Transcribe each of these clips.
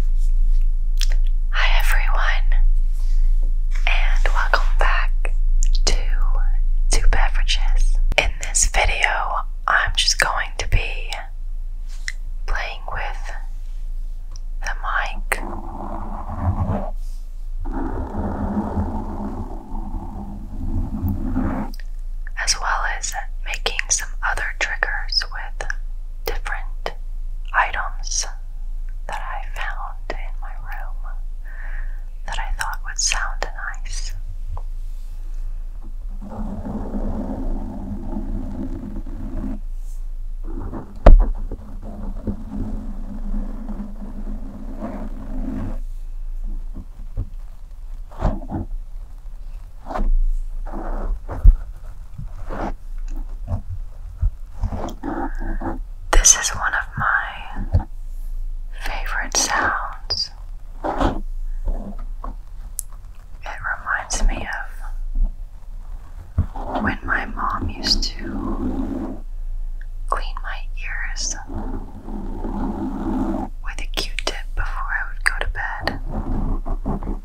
Hi everyone, and welcome back to Two Beverages. In this video, I'm just going to be playing with the mic. As well as making some other triggers with different items that I found in my room that I thought would sound nice. This is one of my favorite sounds. It reminds me of when my mom used to clean my ears with a q tip before I would go to bed.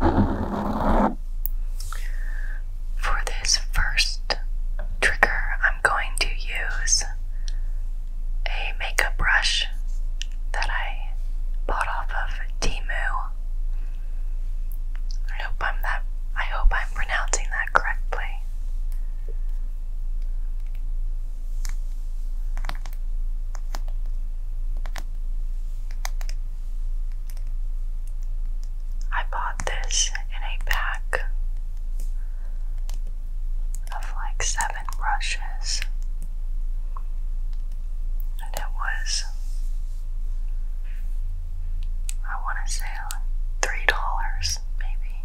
For this first trigger, I'm going to use a makeup brush that I bought off of Timu. I hope I'm that I hope I'm pronouncing that correctly. I bought this in a pack of like seven brushes, and it was, I want to say, three dollars maybe.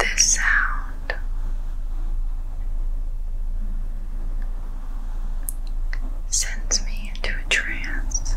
This sound sends me into a trance.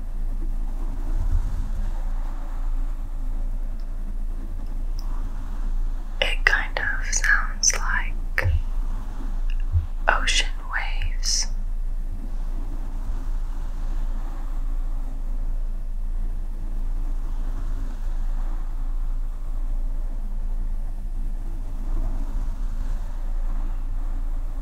It kind of sounds like ocean waves.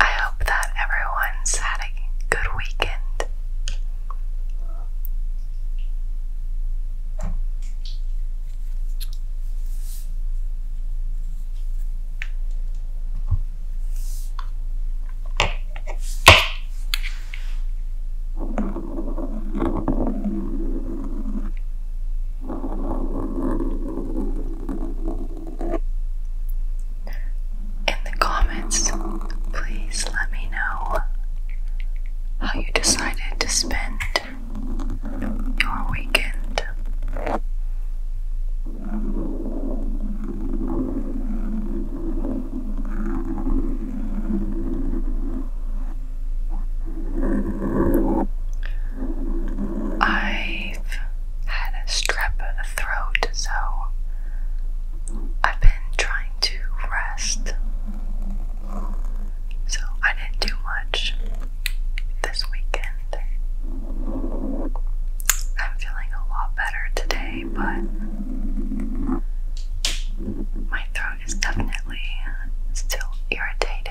I hope that everyone's had a good weekend. In the comments, please let me know how you decided to spend your weekend. I've had a strep throat, so I've been trying to rest. So I didn't do much this weekend. I'm feeling a lot better today but my throat is definitely still irritated.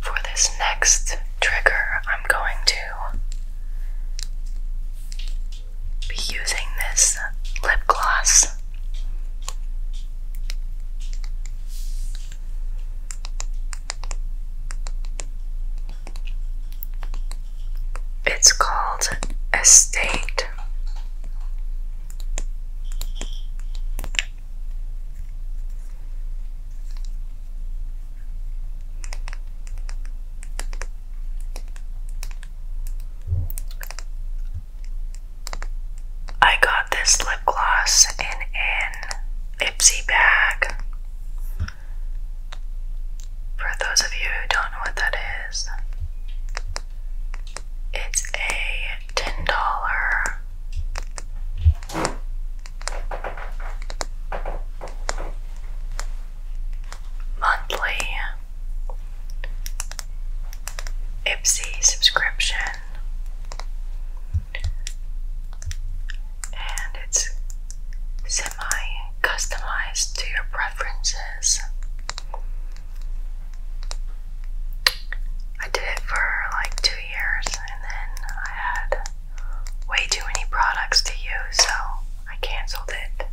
For this next trigger, I'm going to be using this lip gloss. It's called Estate. I got this lip gloss in an Ipsy bag. For those of you who don't know what that is, it's a ten dollar. Monthly Ipsy subscription, and it's semi customized to your preferences. I did it for like two years and then I had way too many products to use, so I canceled it.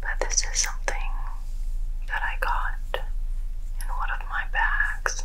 But this is something that I got in one of my bags.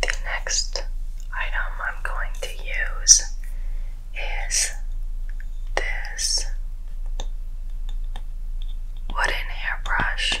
The next item I'm going to use is this wooden hairbrush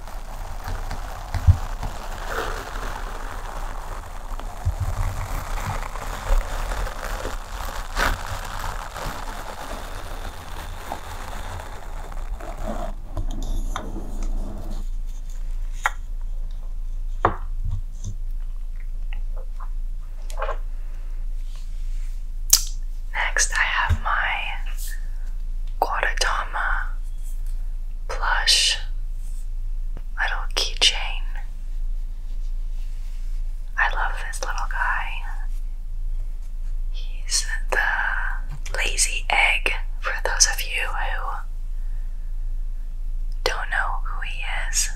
Next, I have my Guadatama plush little keychain. I love this little guy. He's the lazy egg for those of you who don't know who he is.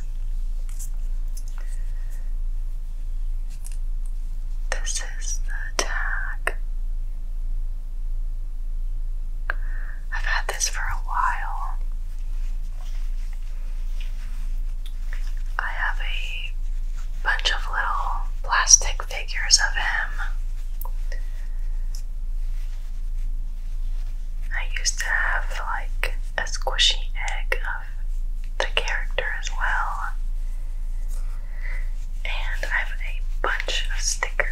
This is the tag. I've had this for a while. I have a bunch of little plastic figures of him. I used to have like a squishy egg of the character as well and I have a bunch of stickers.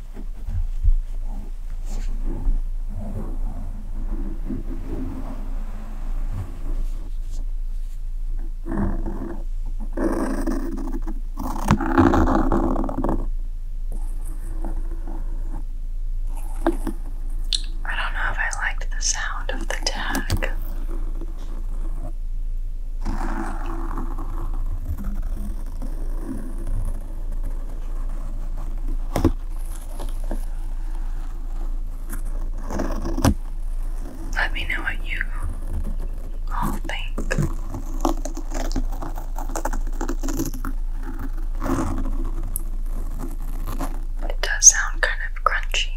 I don't know if I liked the sound of the tag. Let me know what you all think. It does sound kind of crunchy.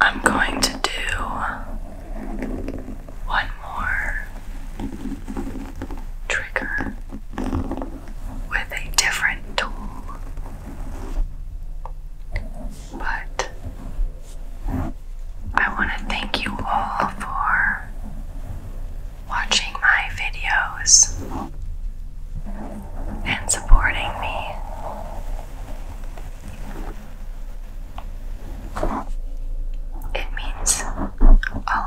I'm going to do one more trigger with a different tool, but I want to thank you all for watching my videos and supporting me. It means a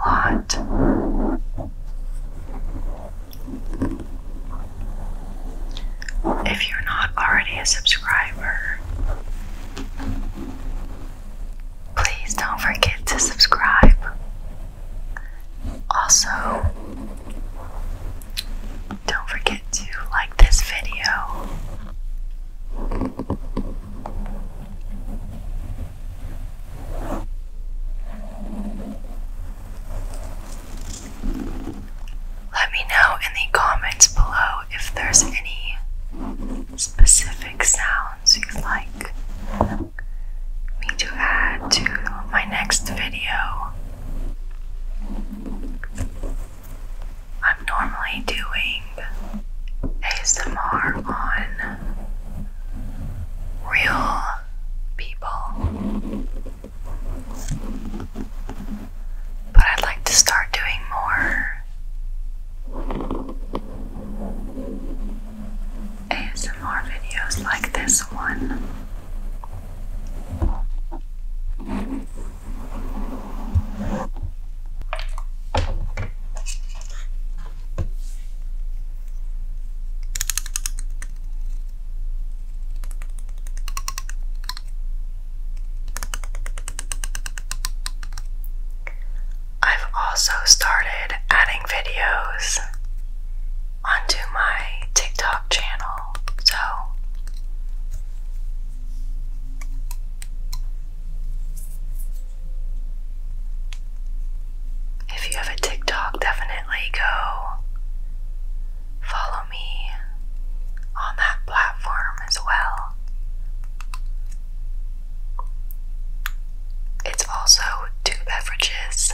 lot. If you're not already a subscriber, please don't forget to subscribe. Also, don't forget to like this video. Let me know in the comments below if there's any specific sounds you'd like me to add to my next video. I'm normally doing ASMR on real people. But I'd like to start doing more ASMR videos like this one. I've also started adding videos onto my TikTok channel, so if you have a TikTok, definitely go follow me on that platform as well. It's also two beverages.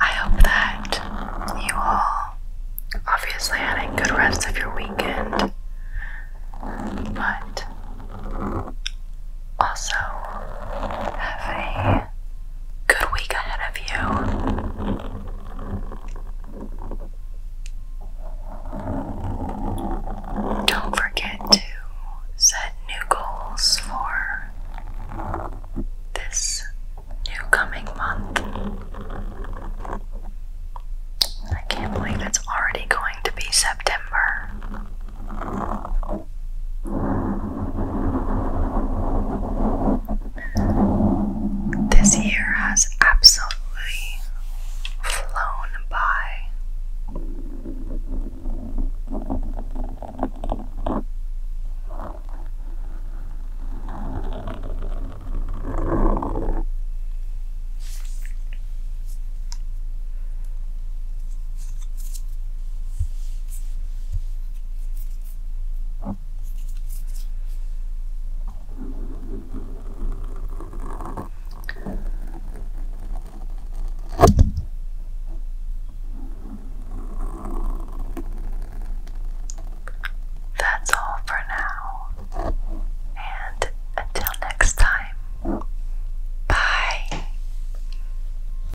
I hope that you all obviously had a good rest of your weekend, but also have a Good week ahead of you. Don't forget to set new goals for this new coming month. I can't believe it's already going to be September. This year has absolutely flown by. That's all for now, and until next time, bye.